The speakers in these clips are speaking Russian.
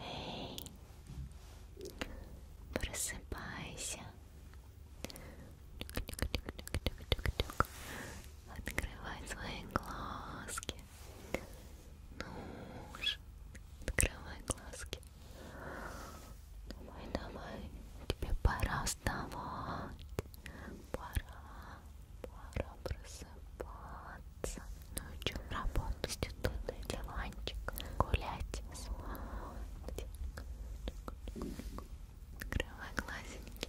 Эй, просыпайся. Открывай свои глазки. Ну же, открывай глазки. Давай, давай, тебе пора вставать. Пора, пора просыпаться ночью ну работать, тут и диванчик, гулять, спать. Открывай глазеньки,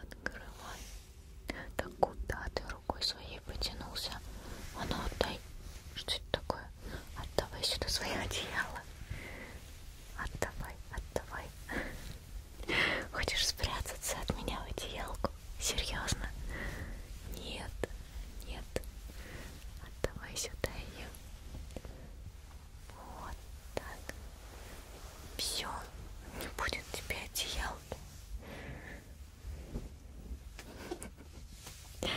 открывай. Так куда ты рукой своей потянулся? А ну отдай. Что это такое? Отдавай сюда свои одеяла. Отдавай, отдавай. Хочешь спрятаться от меня в одеялку? Серьезно? Нет, нет. Отдавай сюда ее. Вот так. Все, не будет тебе одеял. Надо,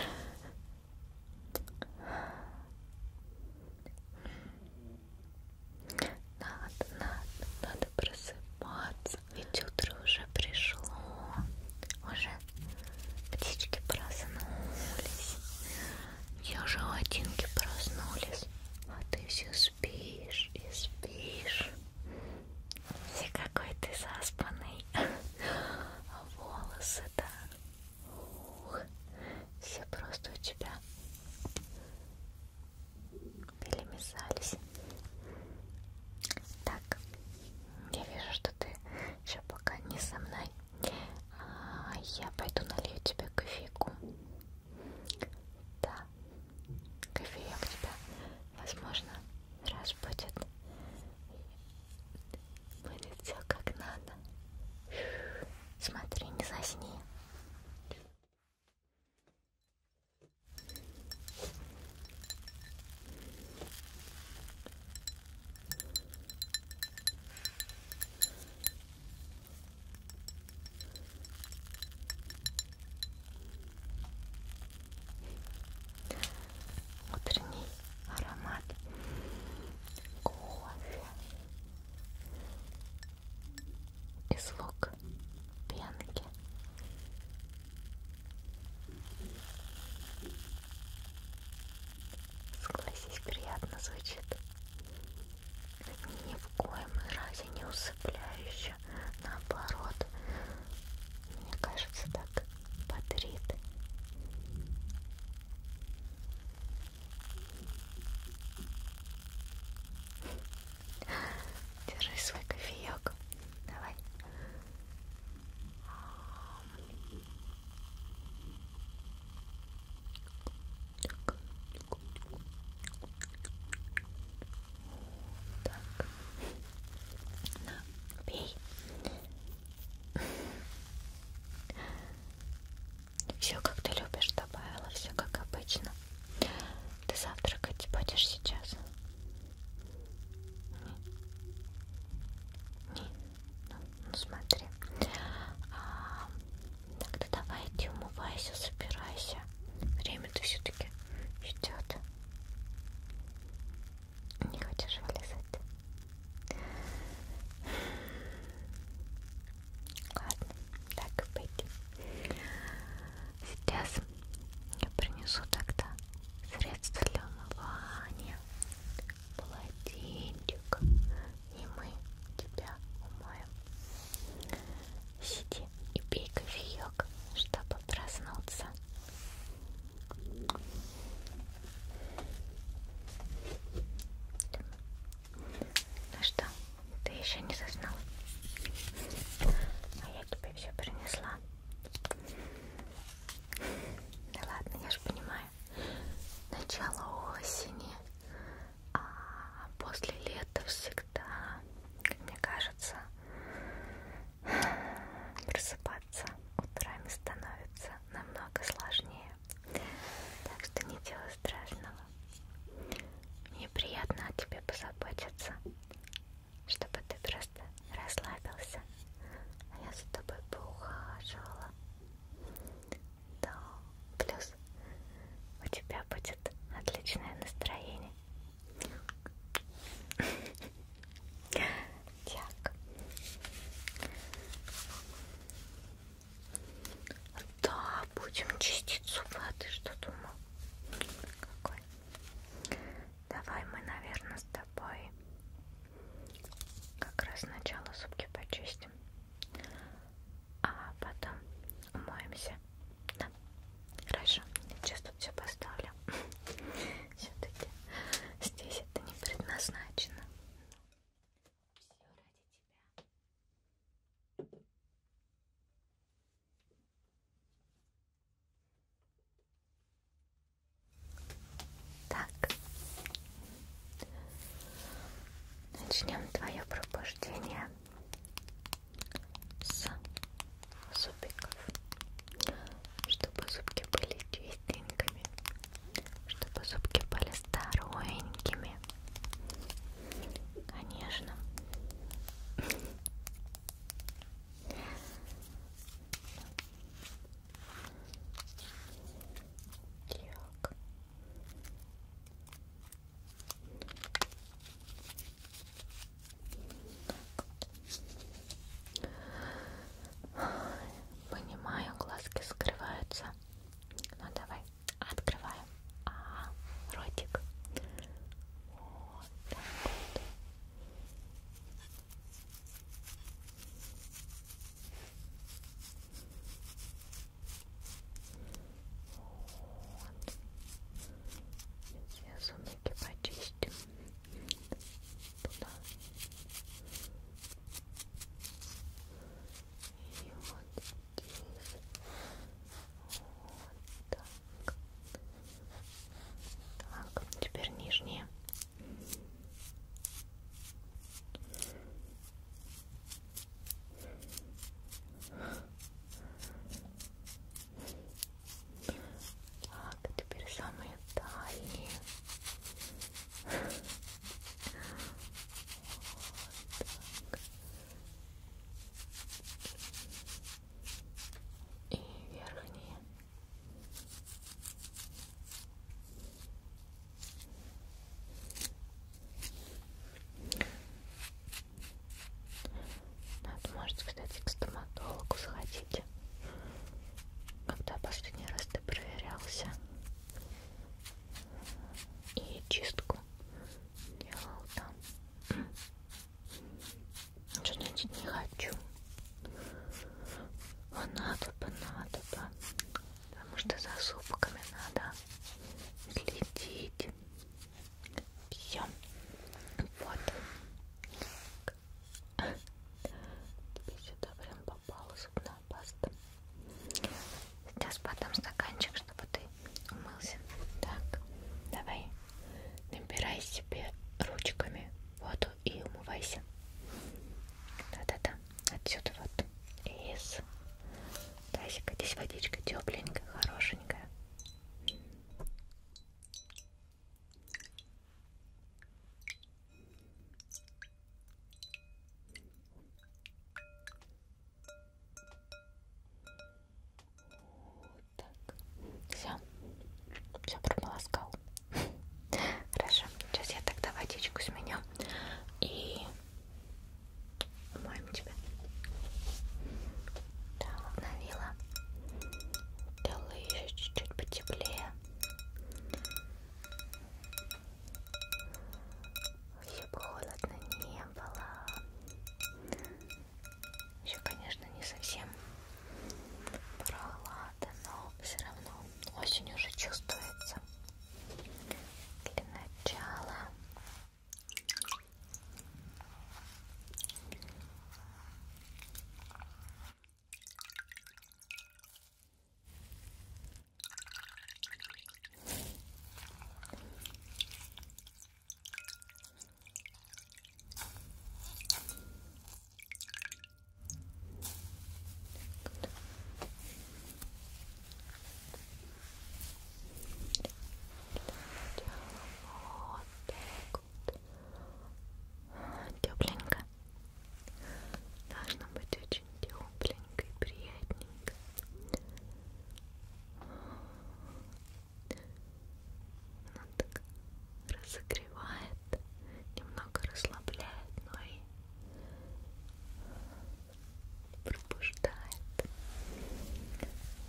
надо, надо просыпаться. Ведь утро уже пришло, уже птички проснулись, уже одинки проснулись, а ты все спишь и спишь. Все какой ты заспанный, а волосы-то, все просто у тебя перемешались. Так, я вижу, что ты еще пока не со мной. А, я пойду налью тебе кофейку. Да, кофеек тебя, возможно, раз будет. Будет все как надо. Смотри, не засни. Утренний аромат кофе и слог пенки. Согласись, приятно звучит. Ни в коем разе не усыпляюще. Наоборот, мне кажется, так бодрит. Держи свой кофеек. Давай. Так. На, пей. Все как ты любишь, добавила, все как обычно. Ты завтракать будешь сейчас? Не. Ну, ну смотри. А, тогда давай иди умывайся, собирайся. Время-то все-таки идет. Не хочешь вылезать? Ладно, так и быть. Сейчас я принесу тогда средства для умывания, полотенчик, и мы тебя умоем. Сиди и пей кофеек, чтобы проснуться. Ну что, ты еще не заснул? А я тебе все принесла. Да ладно, я же понимаю. Начало осени, а после лета всегда, мне кажется, просыпаться утрами становится намного сложнее. Так что ничего страшного. Мне приятно о тебе позаботиться чтобы ты просто расслабился, а я за тобой поухаживала. Да, плюс у тебя будет отличное настроение. Так. Да, будем чистить зубы, а ты что думал? Какой? Давай мы, наверное, с тобой как раз сначала зубки почистим, а потом умоемся. Да. Хорошо, сейчас тут все поставлю. Все-таки здесь это не предназначено. Все ради тебя. Так, начнем твое пробуждение с зубиков, чтобы зубки были чистенькими, чтобы зубки были здоровенькими, конечно. Так. Понимаю, глазки скрываются. Ну давай, открываем. А, -а, -а ротик. Вот так вот. Вот. Сейчас руки почистим. Туда. И вот здесь. Вот так. Так, теперь нижние. Так, теперь самые дальние. Вот так и верхние. Надо, может, кстати, к стоматологу сходить. Когда последний раз ты проверялся и чистку делал там. Что значит не хочу? А надо бы, надо бы. Потому что за зубками надо следить. Все. Вот. Так. Тебе сюда прям попала зубная паста. Сейчас потом стаканчик, чтобы ты умылся. Так, давай. Набирай себе ручками воду и умывайся. Да-да-да, отсюда вот из тазика. Здесь водичка тепленькая, хорошенькая. Так, все, все прополоскал. Хорошо, сейчас я тогда водичку сменю и умоем тебя. Так, навила. Делаю еще чуть-чуть потеплее. Еще бы холодно не было еще, конечно, не совсем прохлада, но все равно осень уже чувствуется. Для начала вот тепленько должно быть очень тепленько и приятненько она так разогревает, немного расслабляет, но и пробуждает.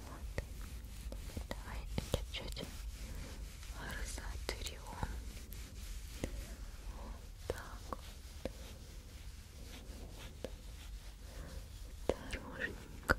Вот. Давай чуть-чуть разотрем. Вот так вот. Осторожненько.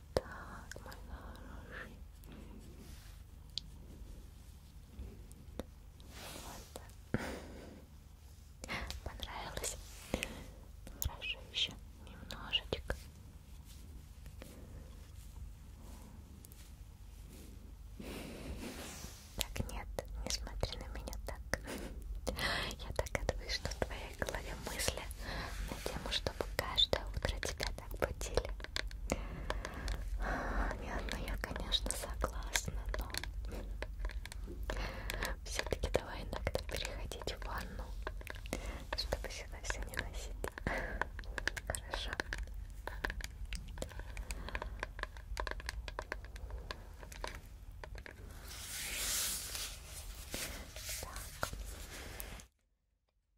Так, мой хороший. Вот так. Понравилось? Ну, хорошо, еще немножечко. Так, нет, не смотри на меня так. Я так отвыш, что в твоей голове свои мысли на тему, чтобы каждое утро тебя так будили. А, Нет, ну я, конечно, согласна, но все-таки давай иногда переходить в ванну, чтобы сюда все не носить. Хорошо. Так.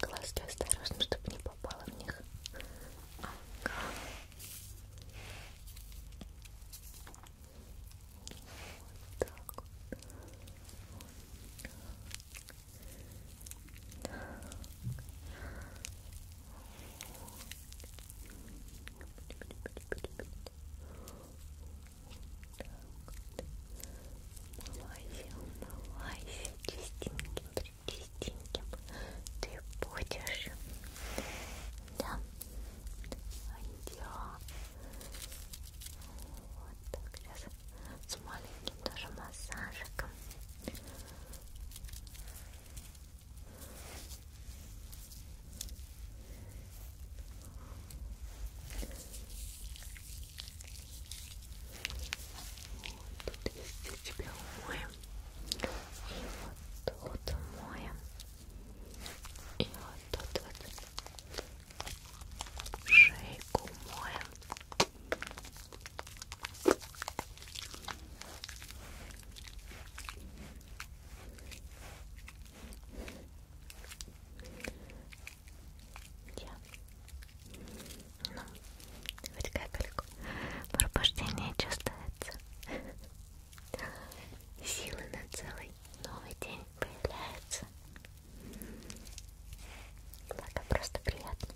Глазки осторожно, чтобы не попало в них. Ага. Вот так вот. Вот так. Вот вот. Умывайся, умывайся чистеньким, чистеньким ты будешь. Да. А я вот так раз с маленьким тоже массажиком. Вот тут везде тебя умоем. И вот тут умоем. И вот тут вот шейку умоем. Ой, я. Ну, хоть капельку пробуждение чувствуется. Силы на целый новый день появляются. Благо просто приятно.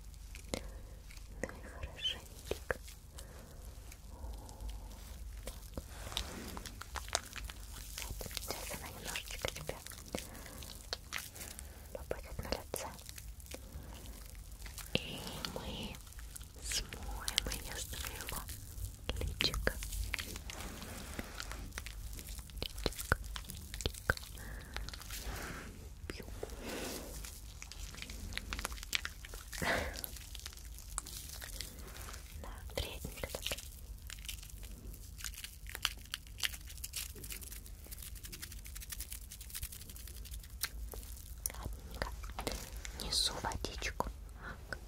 Ну и хорошенечко. Так. Сейчас она немножечко тебе попадет на лице. И мы смоем ее с твоего личика. Личик, личик. Да, приятненько так. Ладненько. Несу водичку. Так.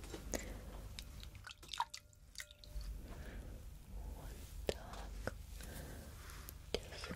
Вот так. Держи.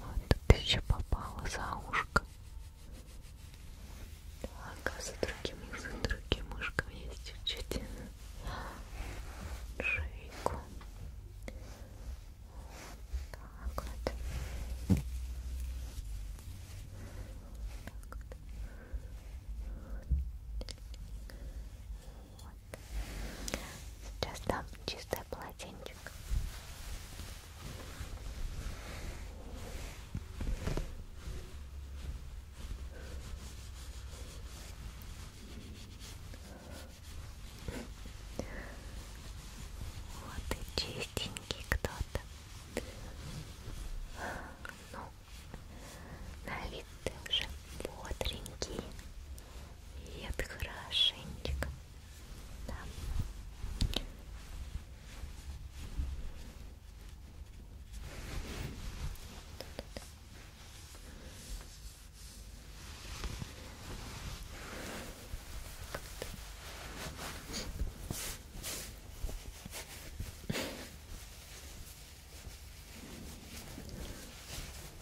Вот ты еще попала за ушко. Ага, за другим, за другим ушком есть чуть-чуть шейку. Так вот так вот. вот. Сейчас дам чистое полотенчик. Вот и чистенький кто маловато. Ну, на вид ты уже бодренький и это хорошенечко. Да. Тут.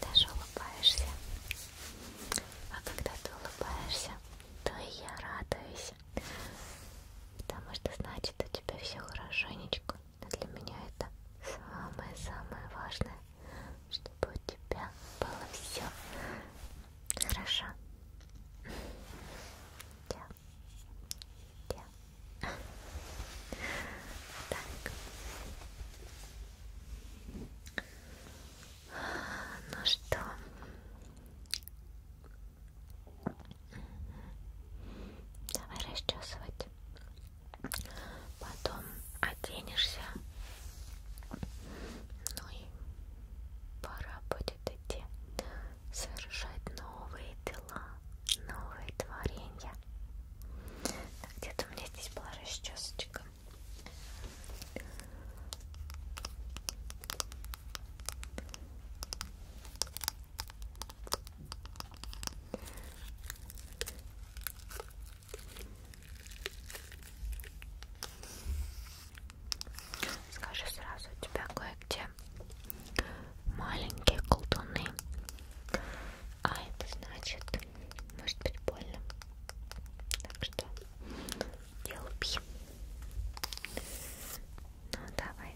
Даже улыбаешься. А когда ты улыбаешься, то и я радуюсь. Потому что значит у тебя все хорошенечко. А для меня это самое-самое важное, чтобы у тебя было все хорошо. Я да. Так. Ну что? Давай расчесывать. Потом оденешься. Ну и пора будет идти совершать новые дела, новые творения. Так, где-то у меня здесь была расчесочка. Скажи сразу, у тебя кое-где маленькие колдуны. А это значит, может быть больно. Так что не лупи. Ну давай.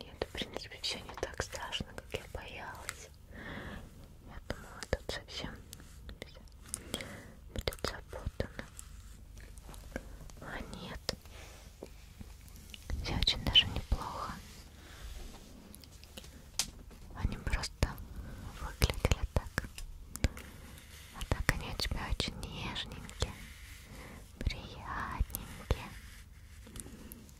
Нет, в принципе, все не так страшно, как я боялась здесь. Я думала, тут совсем будет запутано. А нет. Все очень даже неплохо. Они просто выглядели так. А так они у тебя очень нежненькие, приятненькие.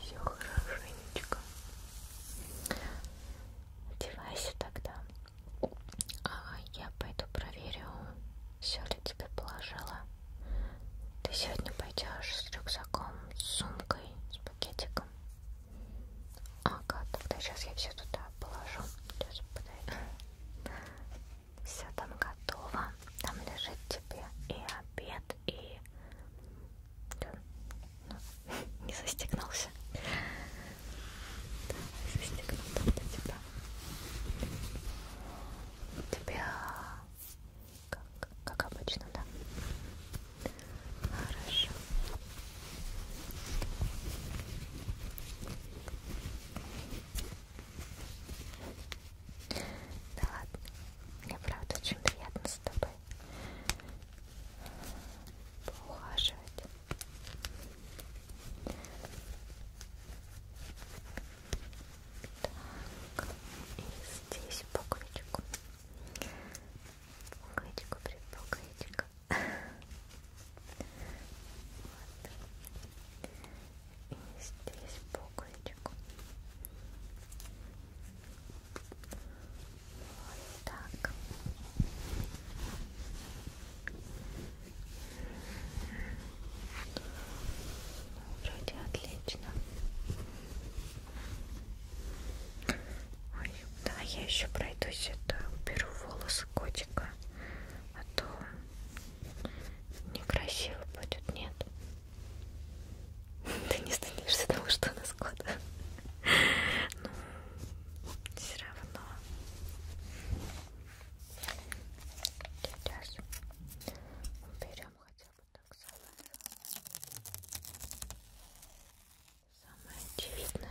Все хорошенечко. Одевайся тогда. А я пойду проверю, все ли тебе положила. Ты сегодня пойдешь с рюкзаком, с сумкой, с пакетиком. Ага, тогда сейчас я все туда положу. Сейчас подай. Все там готово. Там лежит принципе, и обед, и ну, не застегнулся. Давай застегну тогда тебя. Типа. Тебя как, как обычно, да? Хорошо. Да ладно, мне правда очень приятно с тобой поухаживать. Так, и здесь пуговичку. Пуговичку, предпуговичку. Вот и здесь пуговичку. Вот так. Вроде отлично. Ой, да, я еще пройдусь, это уберу волосы котика, а то некрасиво будет, нет. Ты не станешься того, что она скота. Ну, все равно. Сейчас уберем хотя бы так самое. Самое очевидное.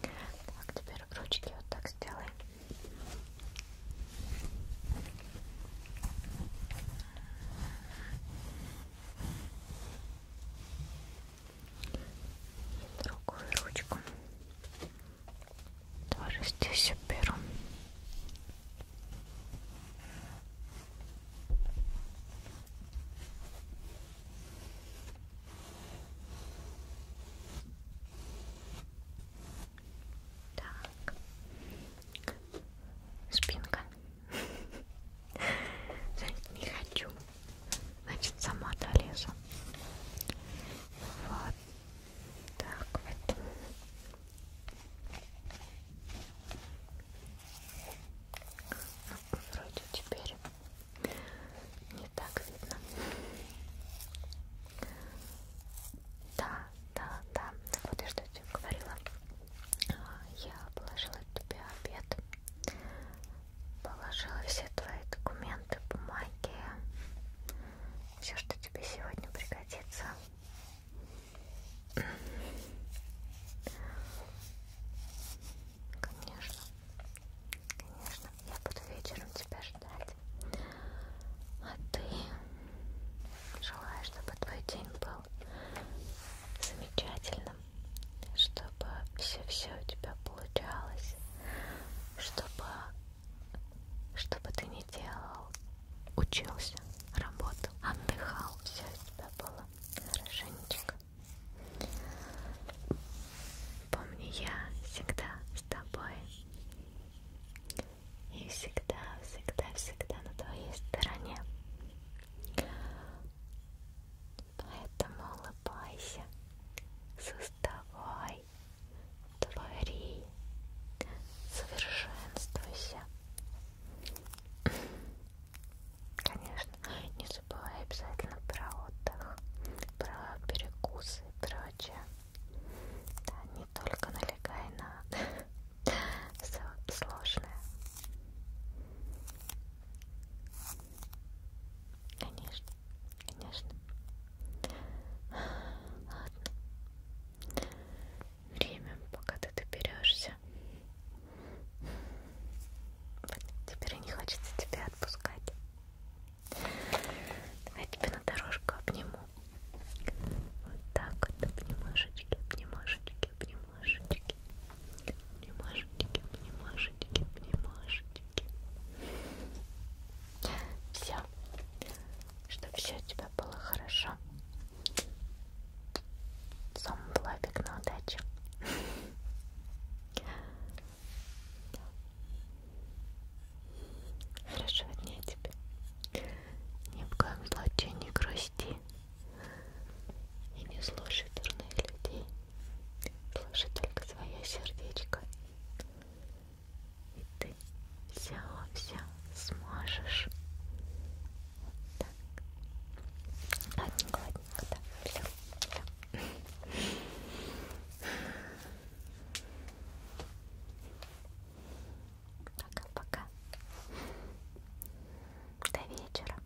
Так, теперь ручки вот так сделаем. И другую ручку тоже здесь уберу. Так. Спинка. Значит, не хочу. Значит, сама долезу. Вот. Так вот. Ну, вроде теперь не так видно. Да, да, да. Так вот я что тебе говорила. А, я положила тебе обед. Положила все твои документы, бумаги. Все, что тебе сегодня пригодится. Конечно, конечно, я буду вечером тебя ждать. А ты желаю, чтобы твой день был замечательным, чтобы все-все у тебя получалось, чтобы, чтобы ты не делал учился, работал, отдыхал. Все у тебя было хорошенечко. Помни, я всегда с тобой. И всегда, всегда, всегда на твоей стороне. Поэтому улыбайся, создавай, твори, совершенствуйся, Конечно, не забывай обязательно про отдых, про перекусы и прочее. Да, не только налегай на все сложное. Конечно, конечно. Ладно время, пока ты доберешься. Теперь не хочется тебя отпускать. Давай я тебя на дорожку обниму. Вот так вот обнимашечки, обнимашечки, обнимашечки. Обнимашечки, обнимашечки, обнимашечки. Все. Чтобы все у тебя было хорошо. Сам лапик на удачу. Хорошего дня тебе. Ни в коем случае не грусти. И не слушай дурных людей. Слушай только свое сердечко. И ты все-все сможешь. Так. Ладненько, ладненько, да. Все. Да. Пока-пока. До вечера.